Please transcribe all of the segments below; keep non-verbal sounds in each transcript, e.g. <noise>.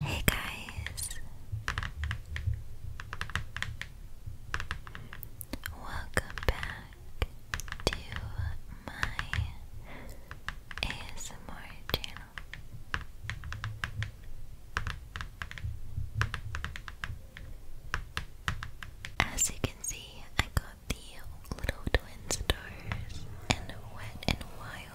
Hey guys, welcome back to my ASMR channel. As you can see, I got the little twin stars and wet and wild.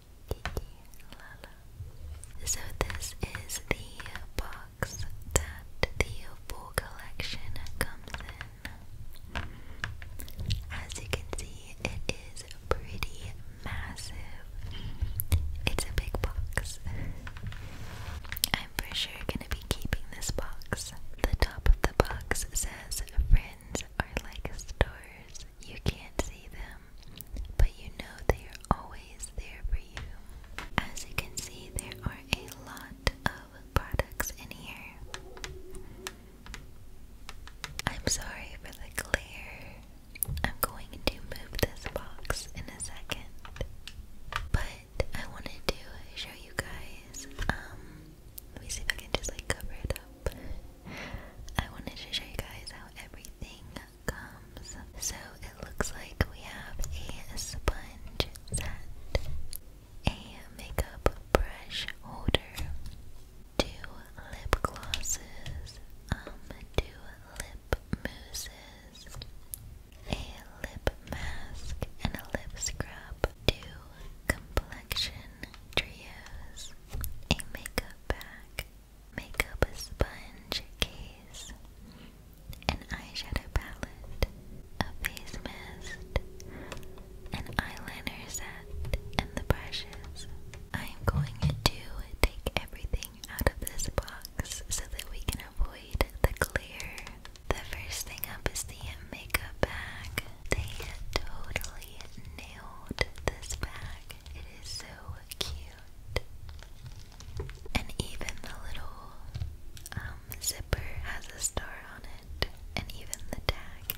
So this is the box that the full collection comes in. As you can see, it is pretty massive. It's a big box. I'm for sure gonna be keeping this box. The top of the box says friends are like stars you can't see them, but you know they are always there for you. As you can see, there are a lot of products in here. I'm sorry for the glare. I'm going to move this box in a second. But I wanted to show you guys, um, let me see if I can just like cover it up. I wanted to show you guys how everything comes. So it looks like we have a sponge set, a makeup brush holder, two lip glosses, um, two lip mousses, a lip mask, and a lip scrub, two complexion trios, a makeup bag, make up a sponge case, an eyeshadow palette, a face mask, an eyeliner set, and the brushes. I am going to take everything out of this box so that we can avoid the glare. The first thing up is the makeup bag. They totally nailed this bag. It is so cute. And even the little um, zipper has a star on it. And even the tag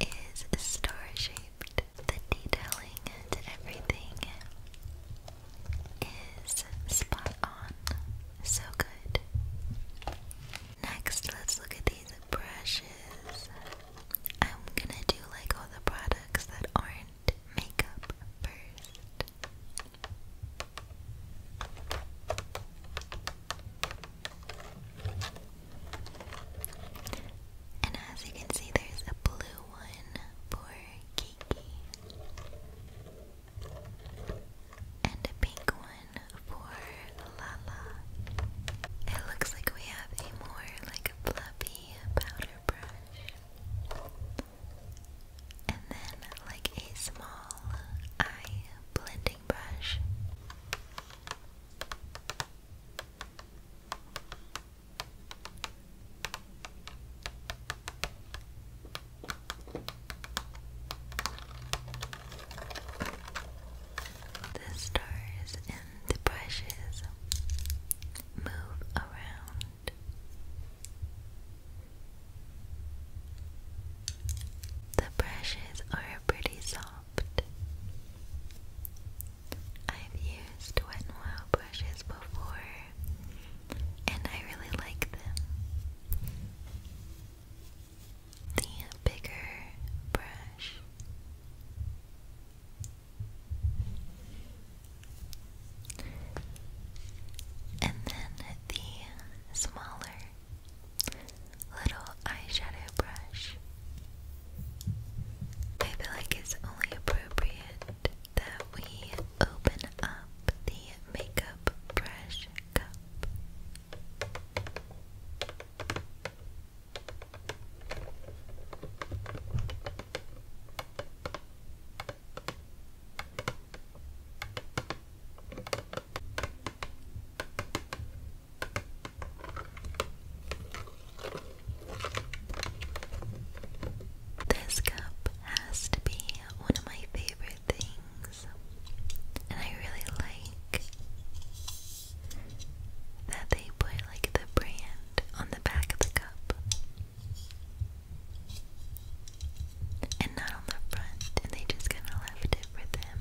is star shaped. The detailing and everything is spot on. So good. Next, let's look at these brushes. I'm gonna do like all the products that aren't makeup first. And as you can see, there's a blue one for Kiki, and a pink one for la. It looks like we have a more like fluffy powder brush. And then like a small eye blending brush. The stars and the brushes move around. The brushes are pretty soft. I've used Wet n brushes before, and I really like them the bigger brush. And then the smaller little eyeshadow brush. I feel like it's only appropriate that we open up the makeup brush cup. This cup has to be one of my favorite things, and I really like that they put like the brand on the back of the cup and not on the front, and they just kind of left it for them.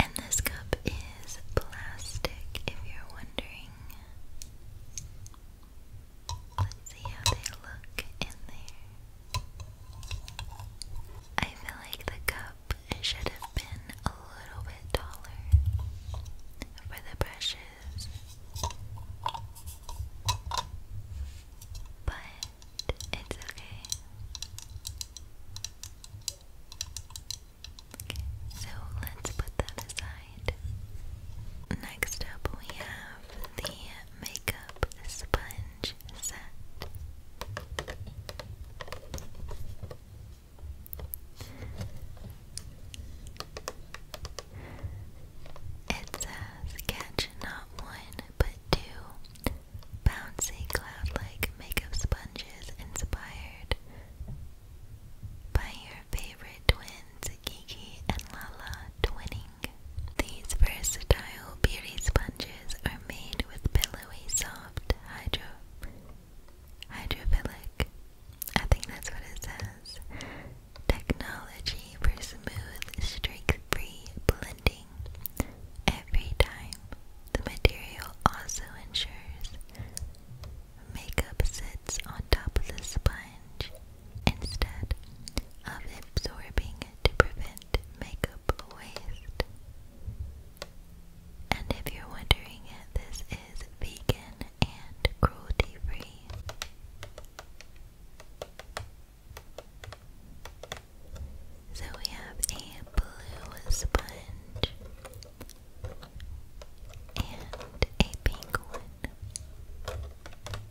And this cup is plastic if you're wondering. Let's see how they look in there. I feel like the cup should have been a little bit taller for the brushes. But it's okay. Okay, so let's put that aside. Next up, we have the makeup sponge set. It says catch not one but two bouncy cloud like makeup sponges inspired by your favorite twins, Kiki and Lala, twinning. These versatile beauty sponges are made with pillowy, soft hydrophilic. I think that's what it says. Technology for smooth, streak-free blending. Every time, the material also ensures makeup sits on top of the sponge instead of absorbing to prevent makeup waste. And if you're wondering, this is vegan and cruelty free. So we have a blue sponge and a pink one.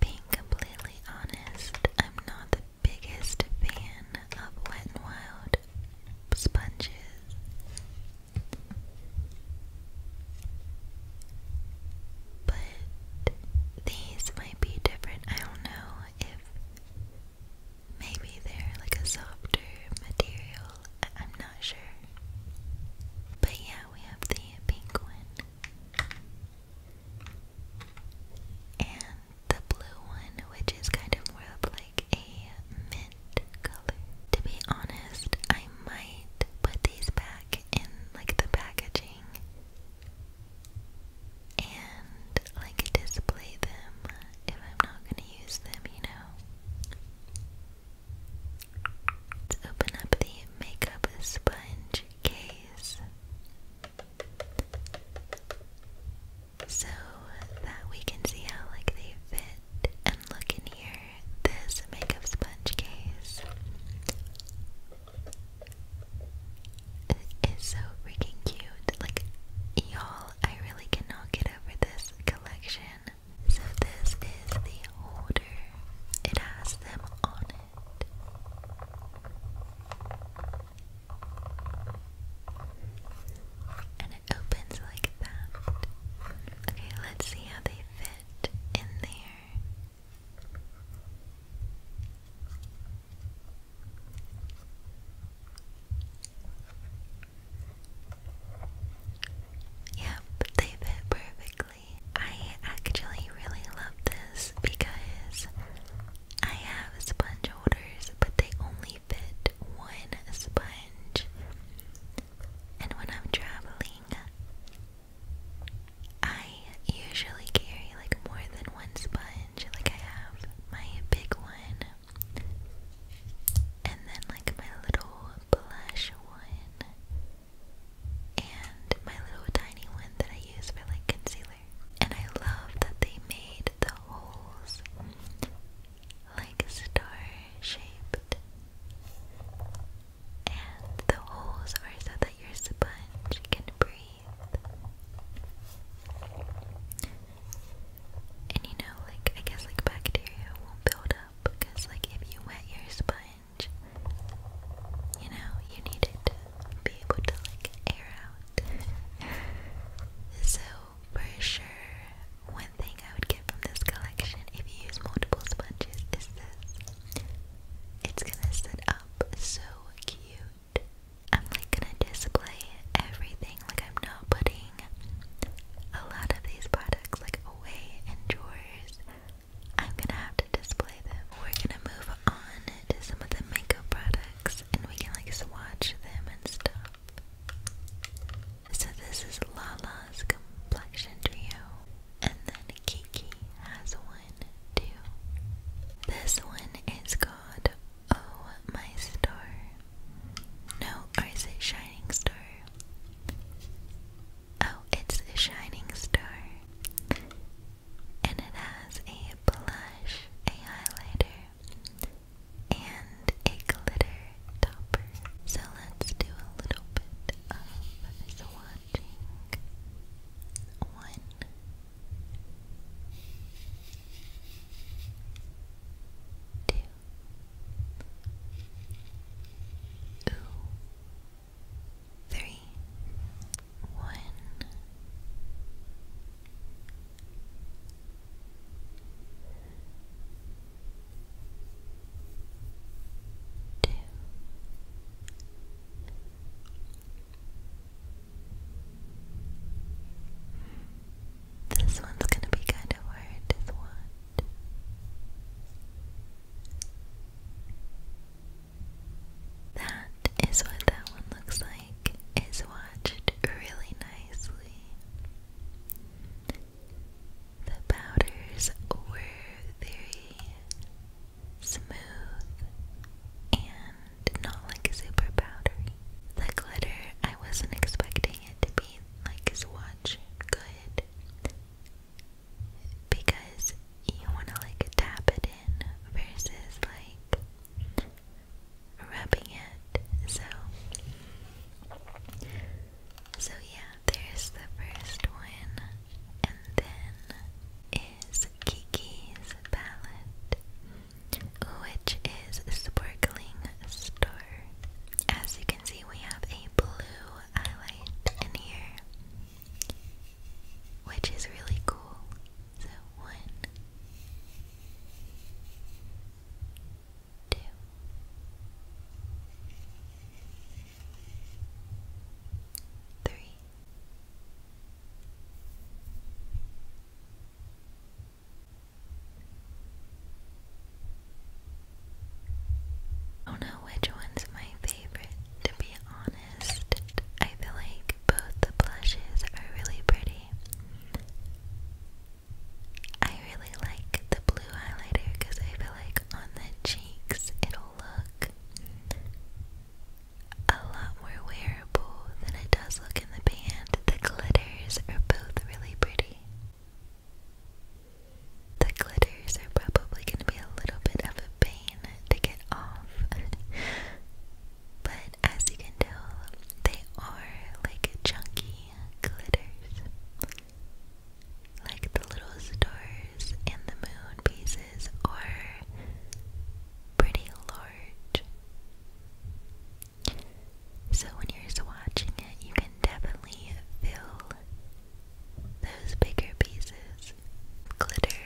Being completely honest, I'm not the biggest fan of Wet n Wild sponges. But these might be different. I don't know if maybe they're like a softer material I am not sure. But yeah, we have the pink one. And the blue one, which is kind of more of like a mint color. To be honest, I might put these back in like the packaging and like display them if I'm not gonna use them, you know. Let's open up the makeup sponge case so that we can see how like they fit and look in here. This makeup sponge case is so freaking cute. Like y'all, I really cannot get over this collection. So this is the order. It has them on it. And it opens like that. Okay, let's see how they fit in there. Yep, they fit perfectly. I actually really love this because I have sponge holders, but they only fit one sponge. And when I'm traveling, I usually carry like more than one sponge. Like I have my big one and then like my little blush one, and my little tiny one that I use for like concealer. And I love that they made the holes like star shaped, and the holes are so that your sponge can breathe. And you know, like I guess like bacteria won't build because, like, if you wet your sponge, you know, you need it to be able to, like, air out. so, for sure, one thing I would get from this collection if you use multiple sponges is this it's gonna sit up so cute. I'm like gonna display everything, like, I'm not putting a lot of these products like away in drawers. I'm gonna have to display them. We're gonna move on to some of the makeup products and we can like swatch them and stuff. So this is Lala's complexion trio. And then Kiki has one too. This one is called Oh My Star. No, or is it Shining Star? Oh, it's a Shining Star. And it has a blush, a highlighter, and a glitter topper. So let's do a little bit of swatching. One. Two. Ooh. Three, This one's going to be kind of hard that is what that one looks like. It's watched really nicely. The powders were very smooth and not like super powdery. The glitter, I wasn't expecting it to be like as watch good, it because you want to like tap it in versus like rubbing it. So, so yeah, there's the first one, and then is Kiki's palette, which is sparkling star. As you see, we have a blue highlight in here, which is really cool. So, one, I don't know which one's my favorite, to be honest. I feel like both the blushes are really pretty. I really like the blue highlighter because I feel like on the cheeks it'll look a lot more wearable than it does look in the band. The glitters are both really pretty. The glitters are probably going to be a little bit of a pain to get off. <laughs> but as you can tell, they are like chunky glitters. Like the little stars and the moon pieces are pretty large. So when you're swatching it, you can definitely feel those bigger pieces, glitter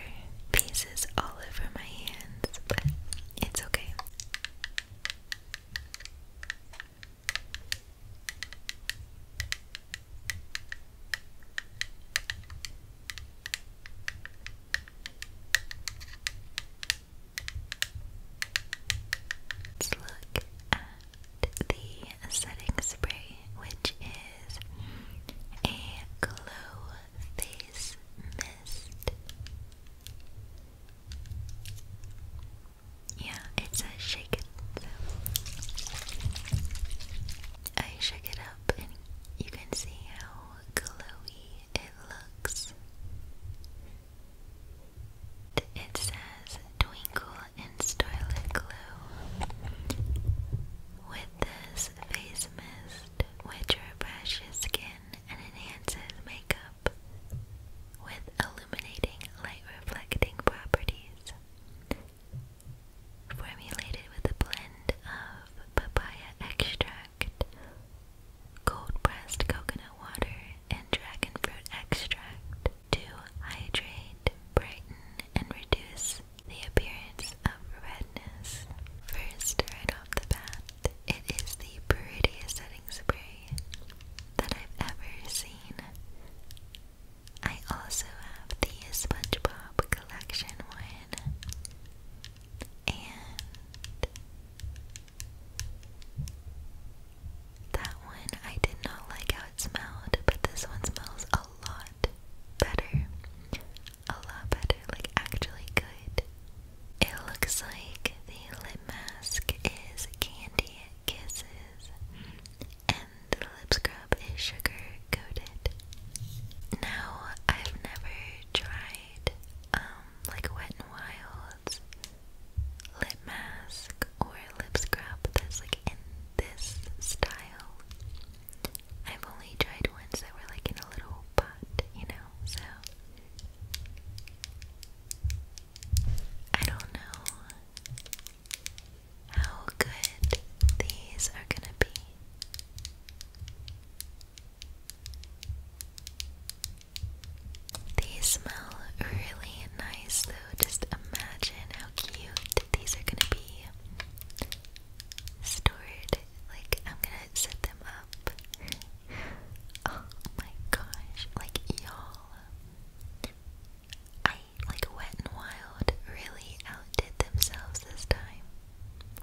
pieces all over my hands, but it's okay. Let's look at the setting spray, which is a glow face mist. Yeah, it says shake it. I shook it up and you can see how glowy it looks. It says twinkle and starlit glow. With this face mist, which refreshes skin and enhances makeup with illuminating light reflecting properties. Formulated with a blend of papaya extract, cold pressed coconut water and dragon fruit extract to hydrate, brighten, and reduce the appearance of redness. First, right off the bat, it is the prettiest setting spray that I've ever seen. I also have the SpongeBob collection one and that one I did not like how it smelled, but this one smells a lot better. A lot better, like actually good. It looks like the lip mask is Candy Kisses, and the lip scrub is Sugar Coated. Now, I've never tried um, like Wet n Wild's lip mask or lip scrub that's like in this style. I've only tried ones that were like in a little pot, you know, so I don't know how good these are gonna be. They smell really nice though. Just imagine how cute these are gonna be stored. Like, I'm gonna set them up. Oh my gosh, like, y'all. I, like, Wet and Wild really outdid themselves this time.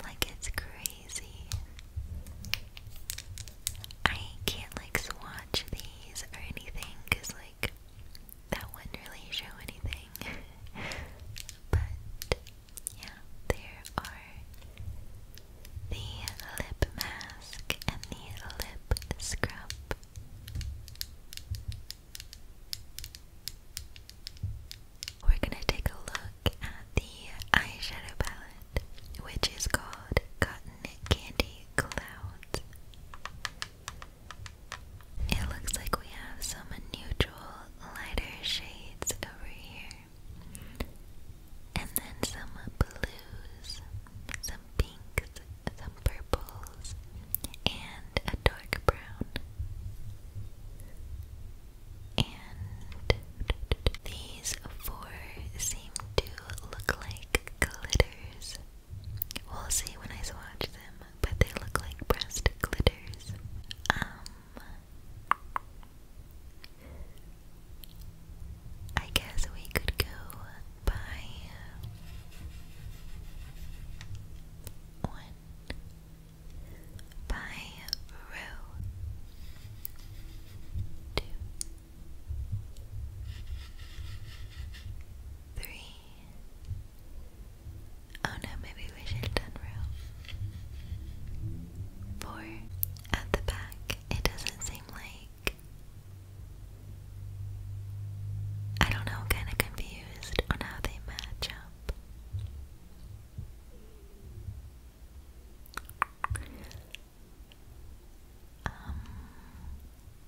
Like, it's crazy. I can't like swatch these or anything because like that wouldn't really show anything. <laughs> but yeah, there are the lip mask and the lip scrub. We're gonna take a look at the eyeshadow palette, which is called Cotton candy clouds. It looks like we have some neutral lighter shades over here. And then some blues, some pinks, some purples, and a dark brown. And these four seem look like glitters. We'll see when I swatch them, but they look like breast glitters. Um, I guess we could go by one by row two Three. Oh no, maybe we should turn row. Four. At the back, it doesn't seem like. I don't know, kinda confused on how they match up. Um,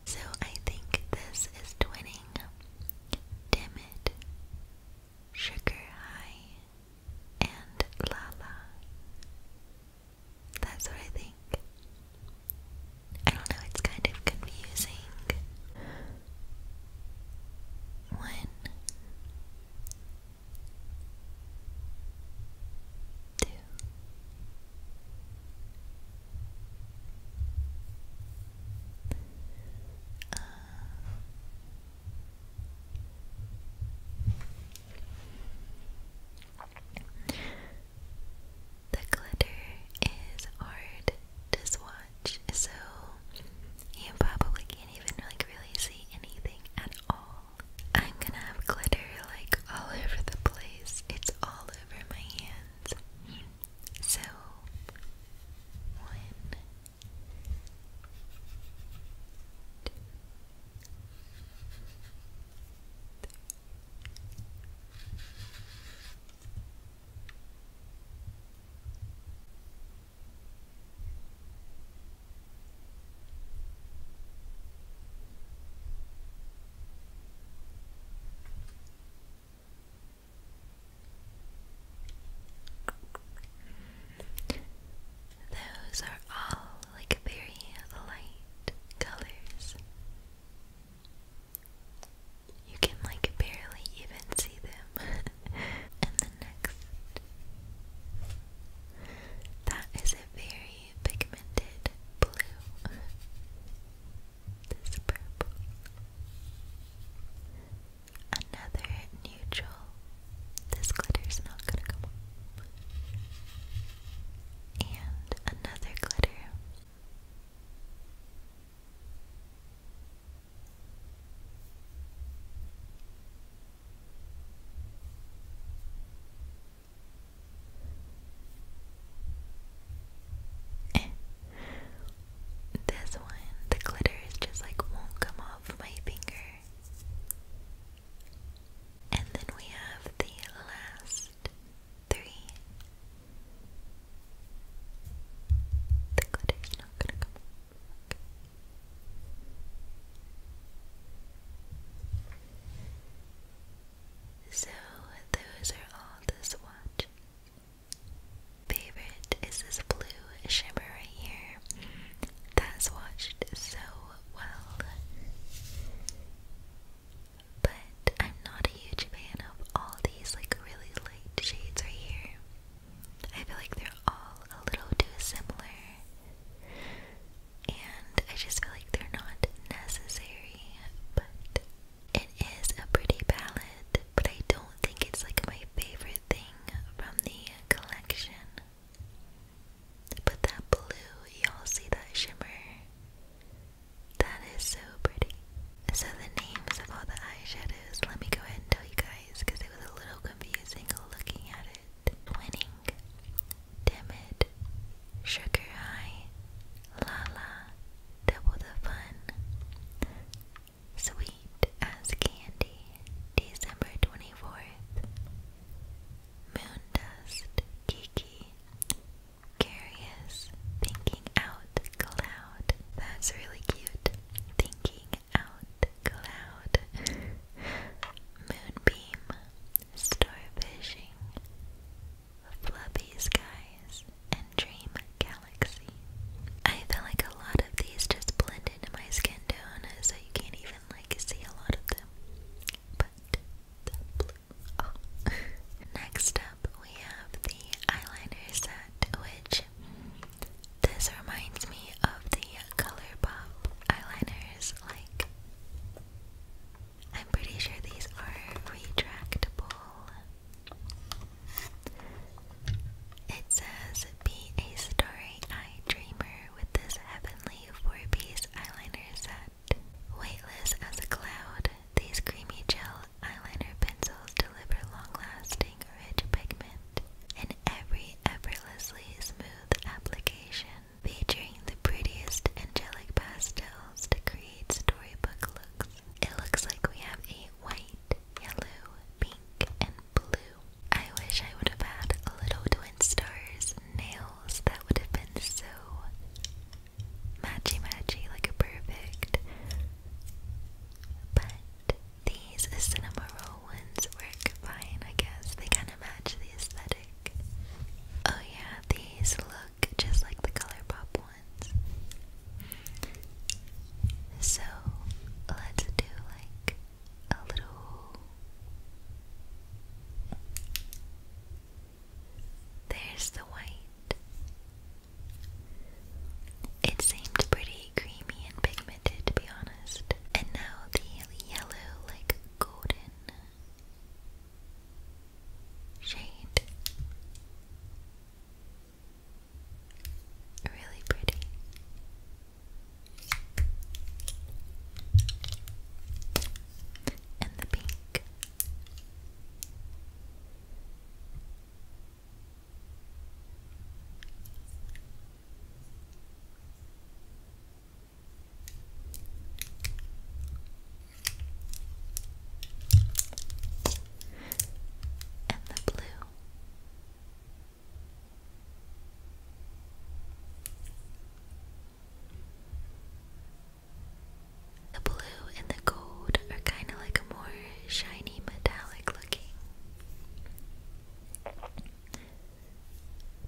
so I think this is twinning. Damn it. Sugar High and Lala. That's what I think. I don't know, it's kind of confusing. One, two, the glitter is hard to swatch, so you probably can't even like really see anything at all. I'm gonna have glitter like all over the place. It's all over my hands. So, one, two, three. Those are all like very light colors. You can like barely even see them. <laughs> and the next. That is a very pigmented blue. this purple. Another neutral. This glitter's not gonna come on. And another glitter. Eh. this one, the glitter is just like won't come off my finger. And then we have the last three. The glitter's not gonna come so, those are all this watch. Favorite is this blue shimmer right here. That's watched so well. But I'm not a huge fan of all these like really light shades right here. I feel like they're all a little too similar and I just feel like they're not necessary, but it is a pretty palette, but I don't think it's like my favorite thing from the collection. But that blue, y'all see that shimmer? That is so pretty. So the names of all the eyeshadows, let me go ahead and tell you guys because it was a little confusing looking at it. Winning, timid, sugar high, lala, double the fun. Sweet as candy, December 24th. Moondust, Kiki, curious, thinking out cloud. That's really cute. Thinking out cloud. <laughs> Moonbeam, Star starfishing, fluffy skies, and dream galaxy. I feel like a lot of these just blend into my skin tone, so you can't even like see a lot of them. But oh. <laughs> Next up, we have the eyeliner set, which this reminds me of the ColourPop eyeliners these like I'm pretty sure these are retractable. It says be a story eyed dreamer with this heavenly four-piece eyeliner set. Weightless as a cloud, these creamy gel eyeliner pencils deliver long-lasting, rich pigment in every effortlessly smooth application featuring the prettiest angelic pastels to create storybook looks. It looks like we have a white, yellow, pink, and blue. I wish I would have had a little twin stars nails. That would have been so matchy matchy, like a perfect. But these cinema ones work fine, I guess. They kind of match the aesthetic. Oh, yeah, these look just like the ColourPop ones. So, let's do like a little. There's the white. It seemed pretty creamy and pigmented, to be honest. And now the yellow, like golden shade. Really pretty. And the pink and the blue. The blue and the gold are kind of like a more shiny metallic looking.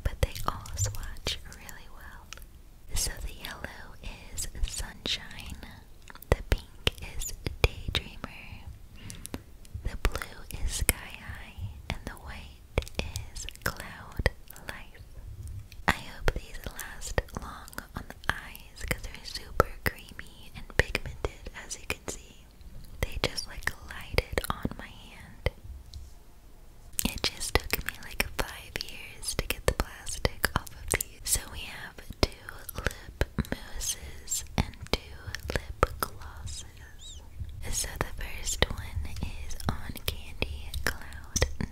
But they all swatch really well. So the yellow is sunshine, the pink is daydreamer, the blue is sky high, and the white is cloud life. I hope these last long on the eyes because they're super creamy and pigmented as you can see. They just like lighted on my hand. It just took me like five years to get the plastic off of these. So we have two lip mousses and two lip glosses. So the first one is on Candy Cloud 9.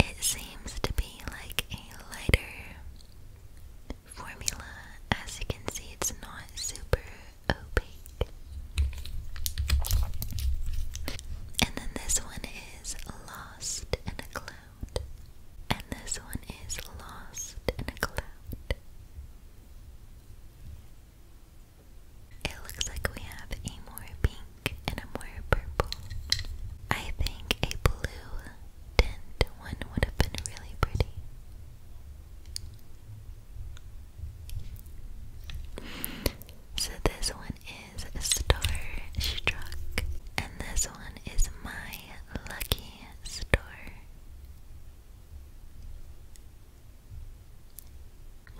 It seems to be like a lighter formula. As you can see, it's not super opaque. And then this one is Lost in a Cloud. And this one is Lost in a Cloud. It looks like we have a more pink black and a more purple. I think a blue tint one would have been really pretty. So this one is Star Struck, and this one is My Lucky Star.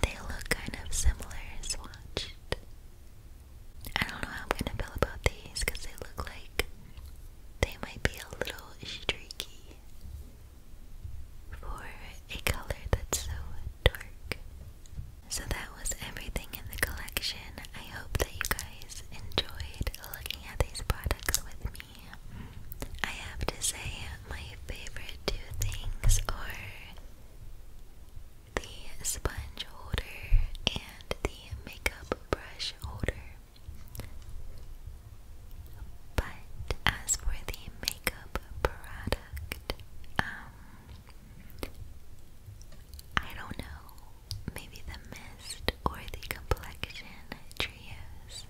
They look kind of similar swatched. I don't know how I'm gonna feel about these because they look like they might be a little streaky for a color that's so dark. So that was everything in the collection. I hope that you guys enjoyed looking at these products with me. I have to say my favorite two things are the sponge holder, and the makeup brush holder. But as for the makeup product, um, I don't know. Maybe the mist or the complexion trios.